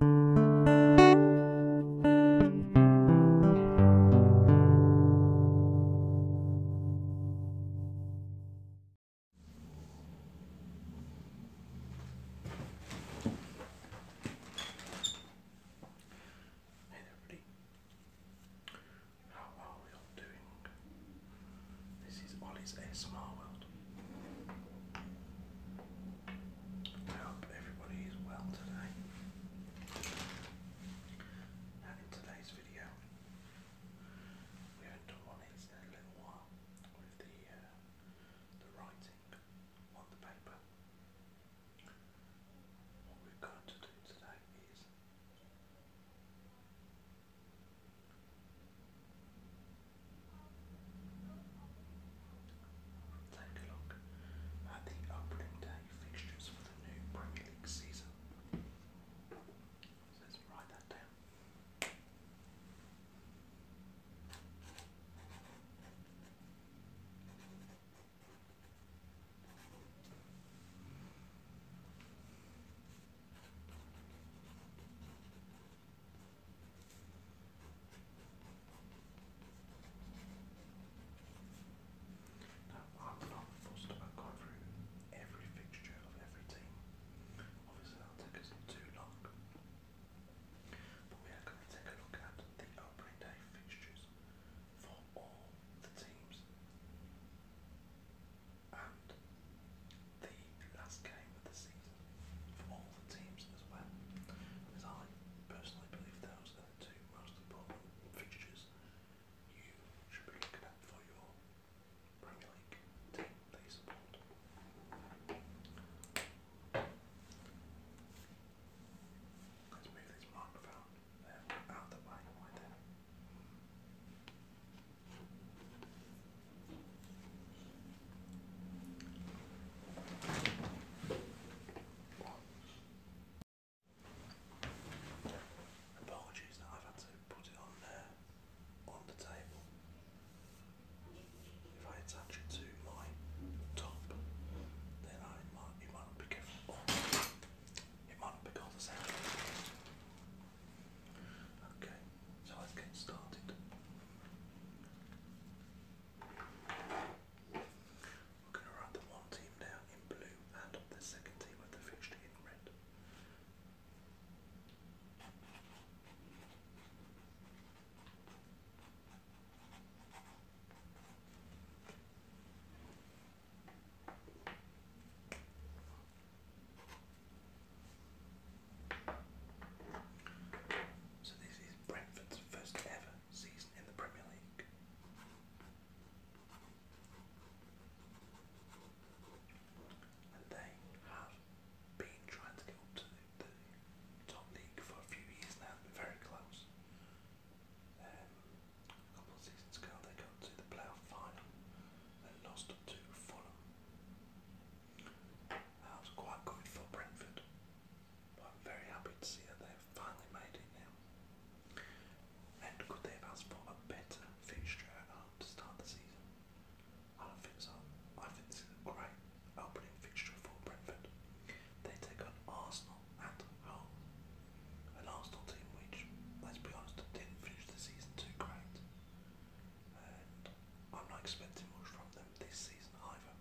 Hey everybody, how are we all doing? This is Ollie's ASMR World. I hope everybody is well today. Now in today's video, we haven't done one in a little while with the uh, the writing on the paper. What we're going to do today is Take a look at the opening day fixtures for the new Premier League season. let's write that down. Now, I'm not fussed about going through every fixture of every team. Obviously, that'll take us too long. But we are going to take a look at the opening day fixtures for all the teams the last game of the season for all the teams as well. As I personally believe those are the two most important fixtures you should be looking at for your Premier League team they support. Let's move this microphone um, out of the way right there. Apologies that I've had to put it on there, on the table. If I attach it to my top, then I might, it might not pick up. It might not pick all the sound. Okay, so let's get started. We're going to write the one team down in blue and the second team with the fixture in red. So this is Brentford's first ever season in the Premier League. And they have been trying to get to the, top league for a few years now, very close. Um, a couple seasons ago they got to the playoff final and lost to Fulham that was quite good for Brentford. I'm very happy to see that they've finally made it now. And could they have asked for a better fixture at home to start the season? I don't think so. I think this is a great opening fixture for Brentford. They take on Arsenal at home. An Arsenal team which, let's be honest, didn't finish the season too great and I'm not expecting much from them this season either.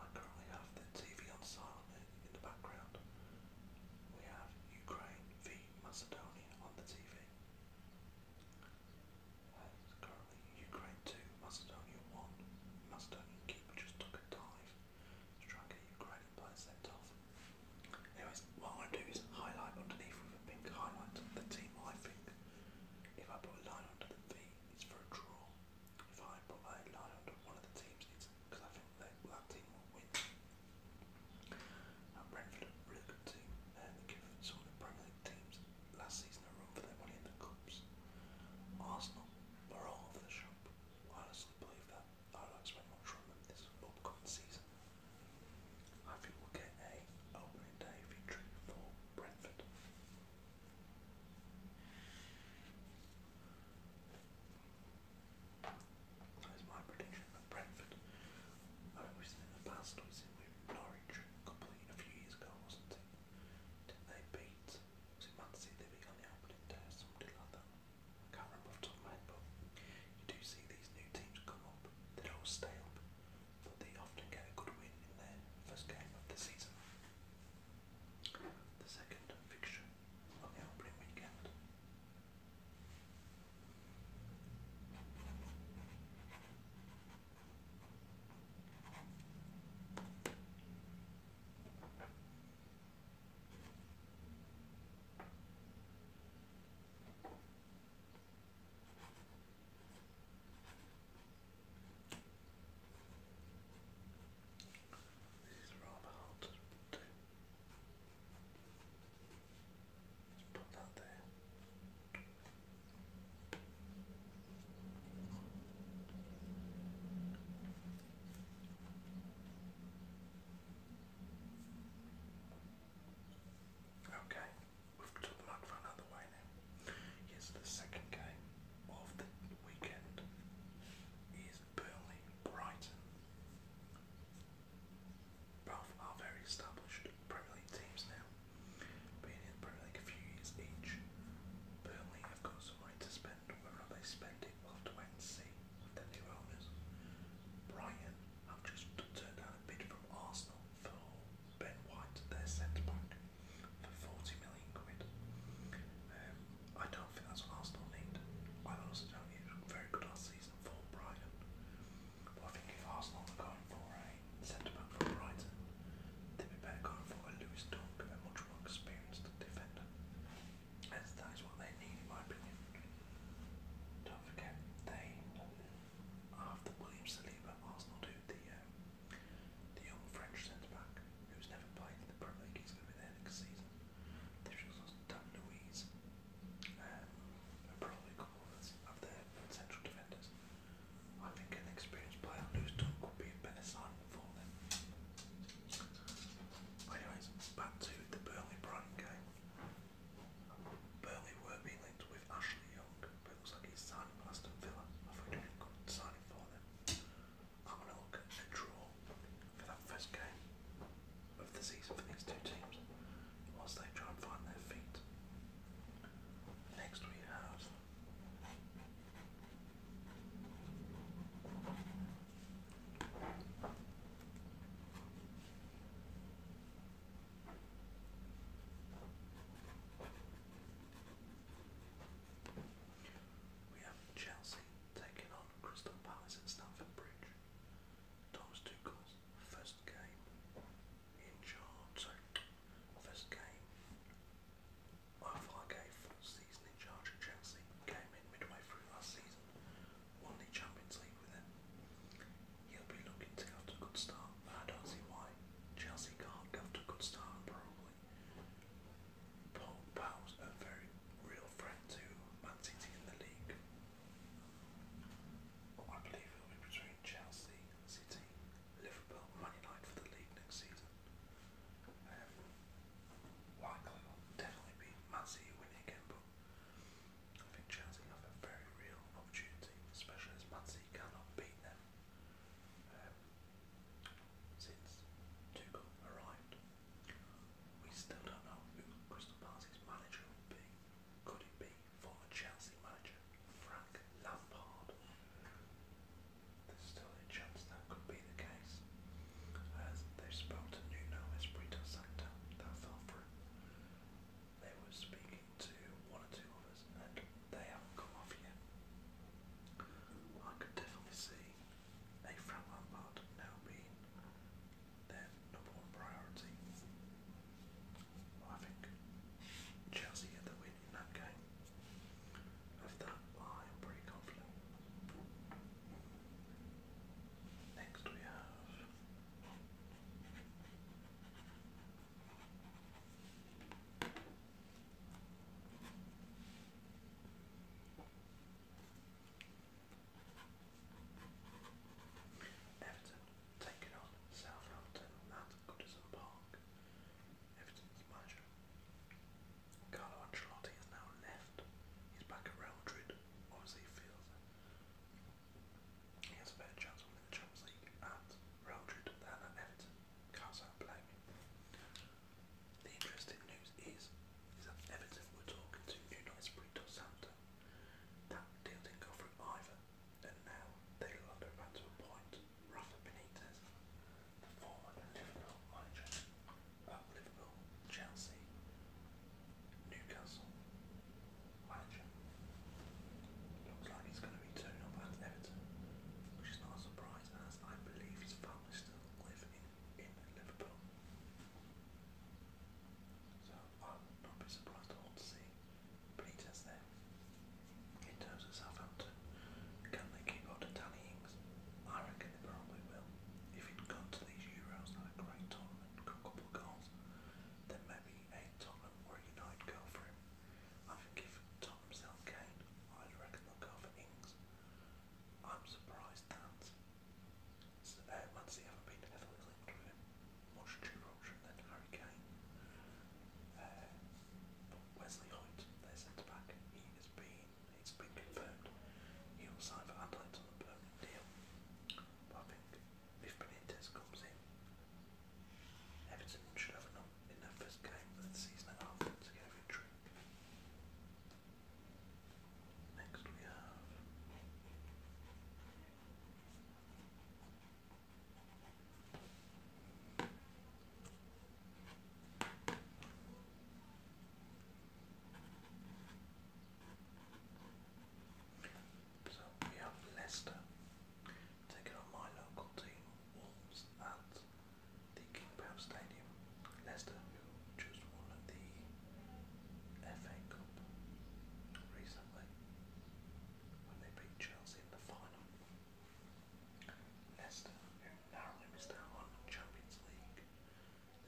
I currently have the TV on silent in the background. We have Ukraine v Macedonia on the TV. And uh, currently Ukraine 2, Macedonia 1. Macedonian keeper just took a dive to try and get Ukrainian players sent off. Anyways, what I'm going to do is highlight underneath with a pink highlight the team I think. If I put a line under the V, it's for a draw. If I put a line under one of the teams, it's because I think they, well, that team will win. Now, Brentford are a really good team. They're given some of the Premier League teams last season a run for their money in the Cups. Arsenal were all over the shop. I honestly believe that. I don't expect much from them this upcoming season. Huffy will get a opening day victory for Brentford. That's my prediction for Brentford. I mean, we in the past, we've Norwich complete a few years ago, wasn't it? they beat, was it Man City they beat on the opening day or like that? I can't remember off the top of my head, but you do see these new teams come up. they all stale, but they often get a good win in their first game of the season. The second fixture on the opening weekend. These are rather hard Let's put that there. Okay, we've took the microphone out of the way now. Here's the second game of the weekend. Is Burnley Brighton? Both are very established Premier League teams now. Being in the Premier League a few years each, Burnley have got some money to spend. Whether or not they spend it, we'll have to wait and see with their new owners. Brighton I've just turned down a bid from Arsenal for Ben White, their centre back, for 40 million quid. Um, I don't think that's what Arsenal need. I honestly don't need a very good last season for Brighton. But I think if Arsenal are going for a centre back from Brighton, they'd be better going for a Lewis Dunk, a much more experienced defender that is what they need, in my opinion. Don't forget, they after William Saliba, Arsenal do the um, the young French centre back who's never played in the Premier League. He's going to be there next season. They've just lost Dan Louise um, and probably a of, of central defenders. I think an experienced player who's done could be a better signing for them. Anyways, back to the Burnley Brighton game. Burnley were being linked with Ashley Young, but it looks like he's signing for Aston Villa. I think he's good signing for them. I'm going to look at a draw for that first game of the season for these two teams whilst they try and find their feet. Next we have we have Chelsea taking on Crystal Palace at Stamford Bridge. Thomas Tuchel's first game in charge, sorry, first game of our game, first season in charge of Chelsea, came in midway through last season won the Champions League with him. He'll be looking to get off to a good start, but I don't see why Chelsea can't get off to a good start, probably. Paul Powell's a very real friend to Man City in the league. I believe it'll be between Chelsea, City, Liverpool, Man United for the league next season. Um, Likely will definitely be Man City winning again, but I think Chelsea have a very real opportunity, especially as Man City cannot beat them um, since Tuchel arrived. We still don't know who Crystal Palace's manager will be. Could it be former Chelsea manager Frank Lampard? There's still a chance that could be the case they spoke to Nuno Espirito Santo, that fell They were speaking to one or two of us, and they haven't come off yet. I could definitely see a Frank Lampard now being their number one priority. I think Chelsea get the win in that game. Of that, I am pretty confident. Next we have Everton taking on Southampton at Goodison Park. Everton's manager Carlo Ancelotti has now left. He's back at Real Madrid. Obviously, he feels he has a better chance of winning the Champions League at Real Madrid than at Everton. Can't say I blame him. The interesting news is, is that Everton were talking to Nuno Espirito Santo. That deal didn't go through either, and now they are about to appoint Rafa Benitez, the former Liverpool manager, uh, Liverpool, Chelsea, Newcastle, manager. Looks like it's going to be turned up at Everton, which is not a surprise as I believe his family still live in, in Liverpool. So I'm not be surprised at all to see Benitez there. In terms of Southampton, can they keep up the tally things. I reckon they probably will. If he'd gone to these Euros and had a great tournament, a couple of goals, then maybe a Tottenham or a United go for him. I think if Tottenham sell Kane, I'd reckon they'll go for Ings. I'm surprised that uh, Man City haven't been heavily linked with him. Much true option than Harry Kane. Uh, but Wesley Hoyt, their centre back, he has been it's been confirmed he will sign for Adelaide on a permanent deal. if Benitez comes in, Everton should have enough in their first game of the season and a half to get a Next we have. So we have Leicester taking on my local team, Wolves, at the King Power Stadium. Leicester, who just won the FA Cup recently when they beat Chelsea in the final. Leicester, who narrowly missed out on Champions League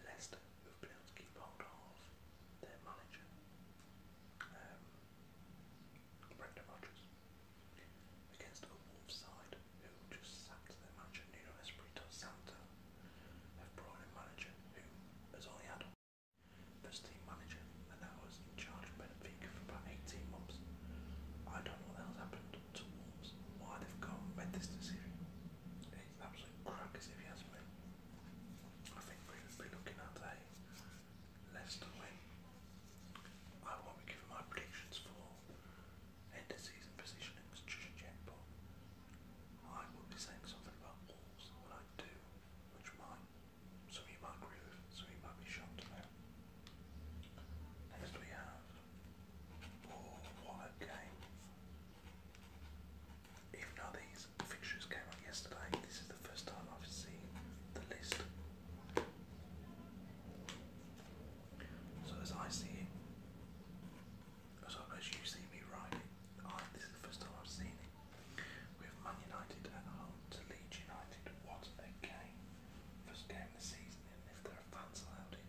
Leicester have been able to keep hold of their manager, um, Brendan Rodgers, against a Wolves side who just sacked their manager, Nuno Espirito Santo, have brought in a manager who has only had this team manager and now was in charge of Benfica for about 18 months. I don't know what the hell's happened to Wolves, why they've gone and made this decision. It's you I think we would be looking at a Leicester win. I won't be my predictions for end of season positionings just yet, but I will be saying something about Wolves when I do, which might, some of you might agree with, some of you might be shocked Next we have Oh, what a game. Even though these fixtures came out yesterday, this is the first time I've seen the list. So as I see it, as well as you see me write it, I, this is the first time I've seen it. We have Man United at home to Leeds United. What a game. First game of the season, and if there are fans allowed in.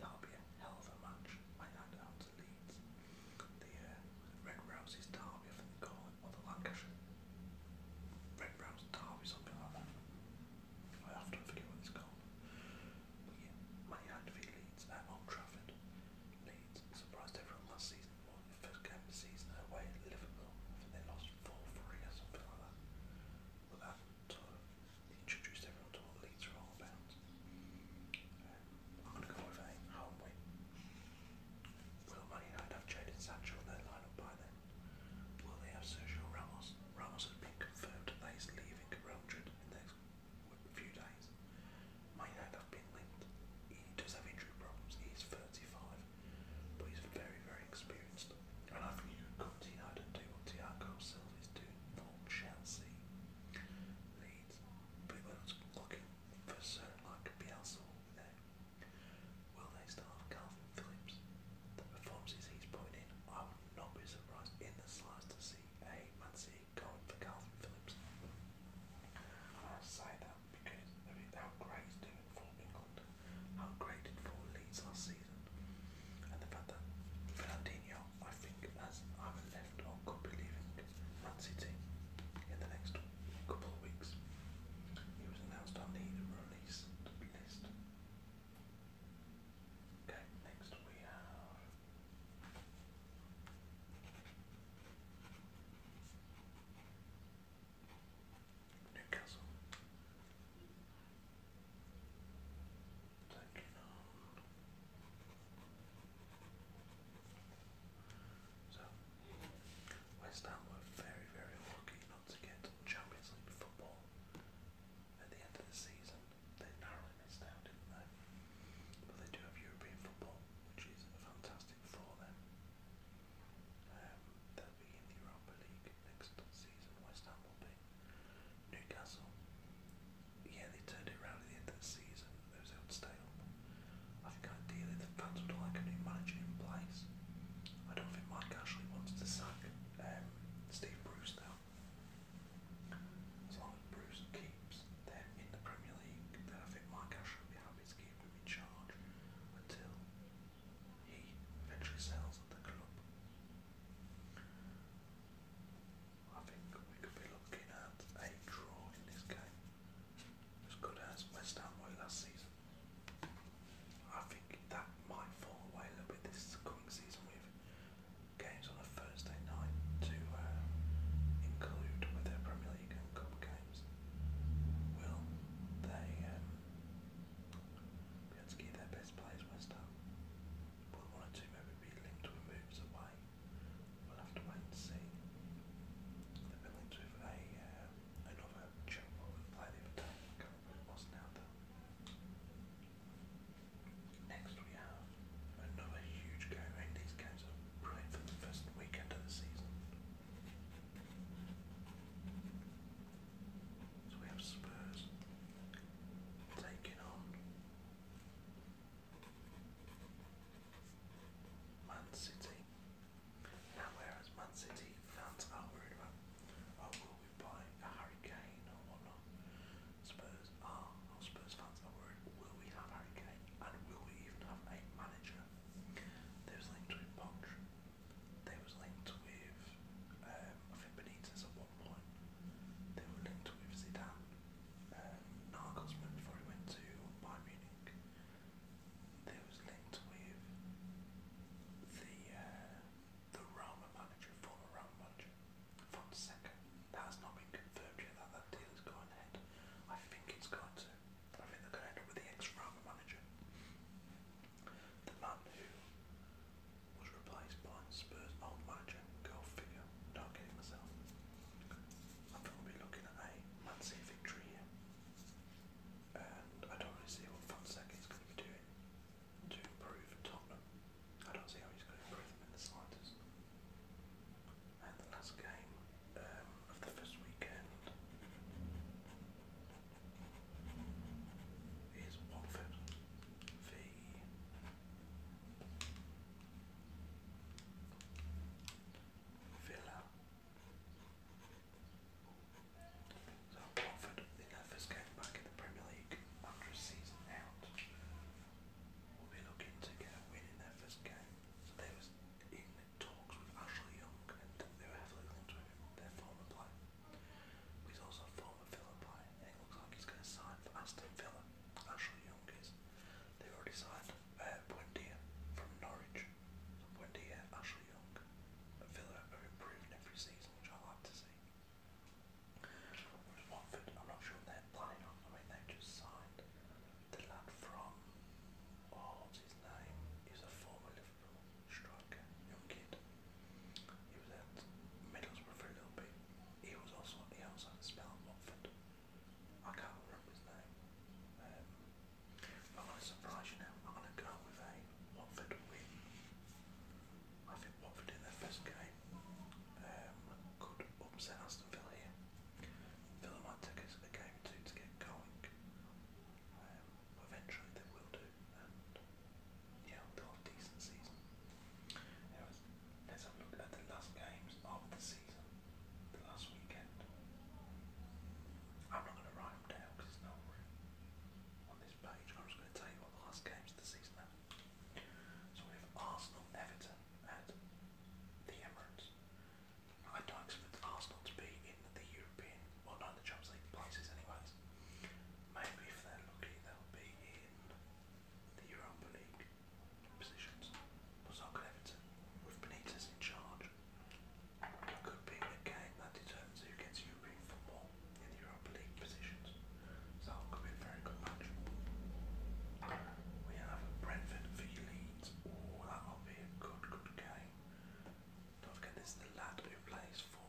That'll be a hell of a match. I had out to Leeds. The uh, Red Rouse's Derby, I think they call it, or the Lancashire Red Rouse Derby, something like that. I often forget what it's called. But yeah, Man United v Leeds at Old Trafford. Leeds surprised everyone last season. Won the first game of the season away at Liverpool. I think they lost 4 3 or something like that. But that sort of introduced everyone to what leads are all about. Um, I'm going to go with a home win. Will Man United have Jadon Sancho in their lineup by then? Will they have Sergio Ramos? Ramos has been confirmed that he's leaving Real Madrid in the next few days. Man United have been linked. He does have injury problems. He's 35, but he's very, very experienced. And I think you could see I don't do what Thiago Silva is doing for Chelsea. Leeds. But when I was looking for certain like Bielsa over there, will they still have Calvin Phillips? The performances he's putting in, I would not be surprised in the slides to see a Man City going for Calvin Phillips. And I say that because of how great he's doing for England, how great it for Leeds last season season. And the fact that Fernandinho, I think, has either left or could be leaving Man City in the next couple of weeks. He was announced on the release list. Okay, next we have. Newcastle. Thank you. So, West Ham were very, very lucky not to get Champions League football at the end of the season. They narrowly missed out, didn't they? But they do have European football, which is fantastic for them. Um, they'll be in the Europa League next season West Ham will be. Newcastle, yeah, they turned it around at the end of the season. They was able to stay up. I think ideally the fans would like a new manager in place. I don't think Mike Ashley wants to sack um, Steve Bruce though. As long as Bruce keeps them in the Premier League, then I think Mike Ashley would be happy to keep him in charge until he eventually sells the club. I think we could be looking at a draw in this game, as good as West Ham were last season. I think that might fall away a little bit this coming season with games on a Thursday night to uh, include with their Premier League and Cup games. Will they um, Bielski, their best players, West one or two maybe be linked with moves away? We'll have to wait and see. They've been linked with a, uh, another Chilwell and play the who it now though. Next we have another huge game, these games are played for the first weekend of the season. So we have Spurs taking on Man City. Now whereas Man City fans are worried about oh will we buy a Harry Kane or whatnot, Spurs are or Spurs fans are worried will we have Harry Kane and will we even have a manager? There's a link to Poch they was linked with, um, I think Benitez at one point. They were linked with Zidane, um, Nagelsmann before he went to Bayern Munich. They was linked with the uh, the Roma manager, former Roma manager, Fonseca. That has not been confirmed yet that that deal is going ahead. I think it's going to. I think they're going to end up with the ex-Roma manager. The man who was replaced by Spurs old manager, go figure, not getting myself. I'm probably looking at a Man City victory here. And I don't really see what Fonseca is going to be doing to improve Tottenham. I don't see how he's going to improve them in the slightest. And the last game um, of the first weekend is Watford v. Villa. So Watford in their first game back in the Premier League after a season out will be looking to get a win in their first game. So they was in talks with Ashley Young and their former player. He's also a former Philippi, and it looks like he's going to sign for Aston Villa. Ashley Young is. They've already signed uh, Buendia from Norwich. So Buendia, Ashley Young, and Villa are improving every season, which I like to see. Whereas Watford, I'm not sure what they're planning on. I mean, they've just signed the lad from, oh, what's his name? He's a former Liverpool, striker, young kid. He was at Middlesbrough for a little bit. He was also he also had a spell at Watford. I can't remember his name. Um, I'm gonna surprise you now. I'm gonna go with a Watford win. I think Watford in their first game um, could upset Aston Villa here. Villa might take us a game or two to get going. Um, eventually they will do, and yeah, they'll have a decent season. Anyways, let's have a look at the last games of the season, the last weekend. I'm not going to write them down because it's not on this page. I'm just going to tell you what the last games of the season are. So we have Arsenal Everton at the Emirates. I don't expect Arsenal to be in the European, well, not in the Champions League places anyway that. Maybe if they're lucky, they'll be in the Europa League positions. But so could Everton, with Benitez in charge. It could be a game that determines who gets European football in the Europa League positions. So it could be a very good match. We have Brentford v Leeds. Oh, that'll be a good, good game. Not forgetting this is the lad who plays for,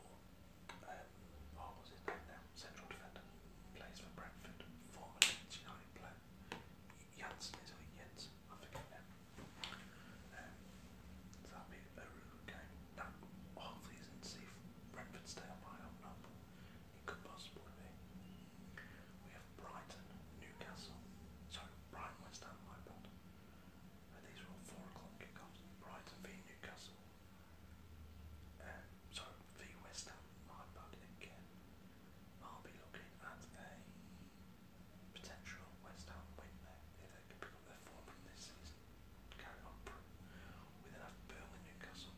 um, oh, what's his name now? Central defender. Plays for Brentford. Former Leeds United player. Janssen is it Jens? I forget now. Um, so that'll be a real game. Now, hopefully isn't see if Brentford stay up high or not. It could possibly be. We have Brighton, Newcastle. Sorry, Brighton, West Ham, my bad. And these are all four o'clock kickoffs. Brighton v Newcastle. Um, sorry, v West Ham. My bad again. I'll be looking at a potential West Ham win there. If they can pick up their form from this season, carry on. We then have Burnley Newcastle.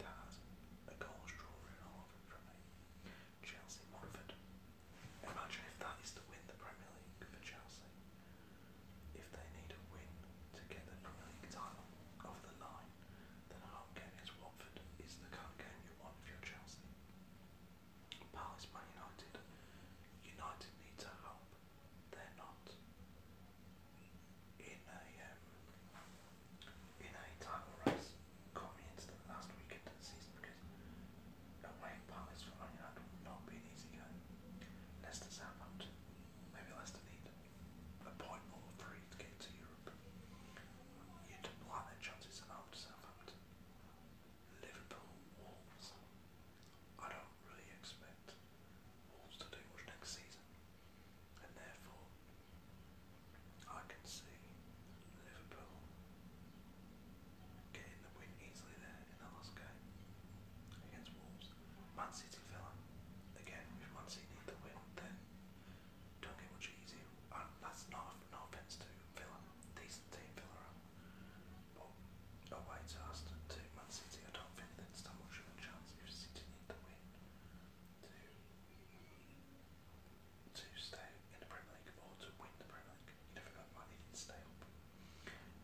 That has a goal draw in all of it from me. Chelsea Montford. Imagine if that is to win the Premier League for Chelsea. If they need a win to get the Premier League title of the nine, then a home game against Watford is the kind of game you want if you're Chelsea. Palace Man United. United needs a help. They're not in a um, in a title race coming into the last weekend of the season because says, No way, Paul is following up. No being easy guy. Leicester Southampton. Maybe Leicester need a point or three to get to Europe. You don't like their chances at home to Southampton. Liverpool Wolves. I don't really expect Wolves to do much next season. And therefore I can see Liverpool Getting the win easily there in the last game against Wolves. Man City fella. Again, if Man City need the win, then don't get much easier. that's not no offense to Villa. Decent team Villa away to Aston to Man City, I don't think there's that much of a chance if City need the win to to stay in the Premier League or to win the Premier League. You never got money, did stay up.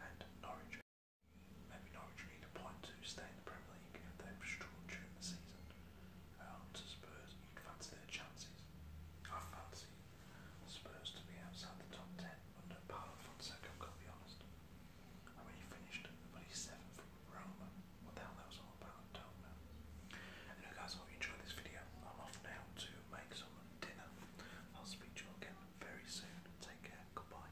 And Norwich, maybe Norwich need a point to stay in the Premier League if they've struggled the season. Um, to Spurs, you'd fancy their chances. I fancy Spurs to be outside the top 10 under Paolo Fonseca, I've got to be honest. I mean, he finished, but he's seventh from Roma. What the hell that was all about, don't know. Anyway, guys, I hope you enjoyed this video. I'm off now to make someone dinner. I'll speak to you again very soon. Take care. Goodbye.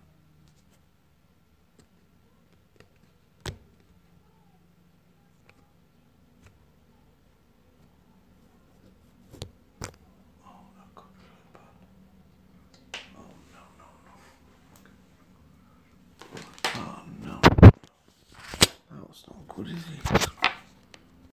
Oh, I've Oh, no, no, no. Oh, no. That was not good, is it?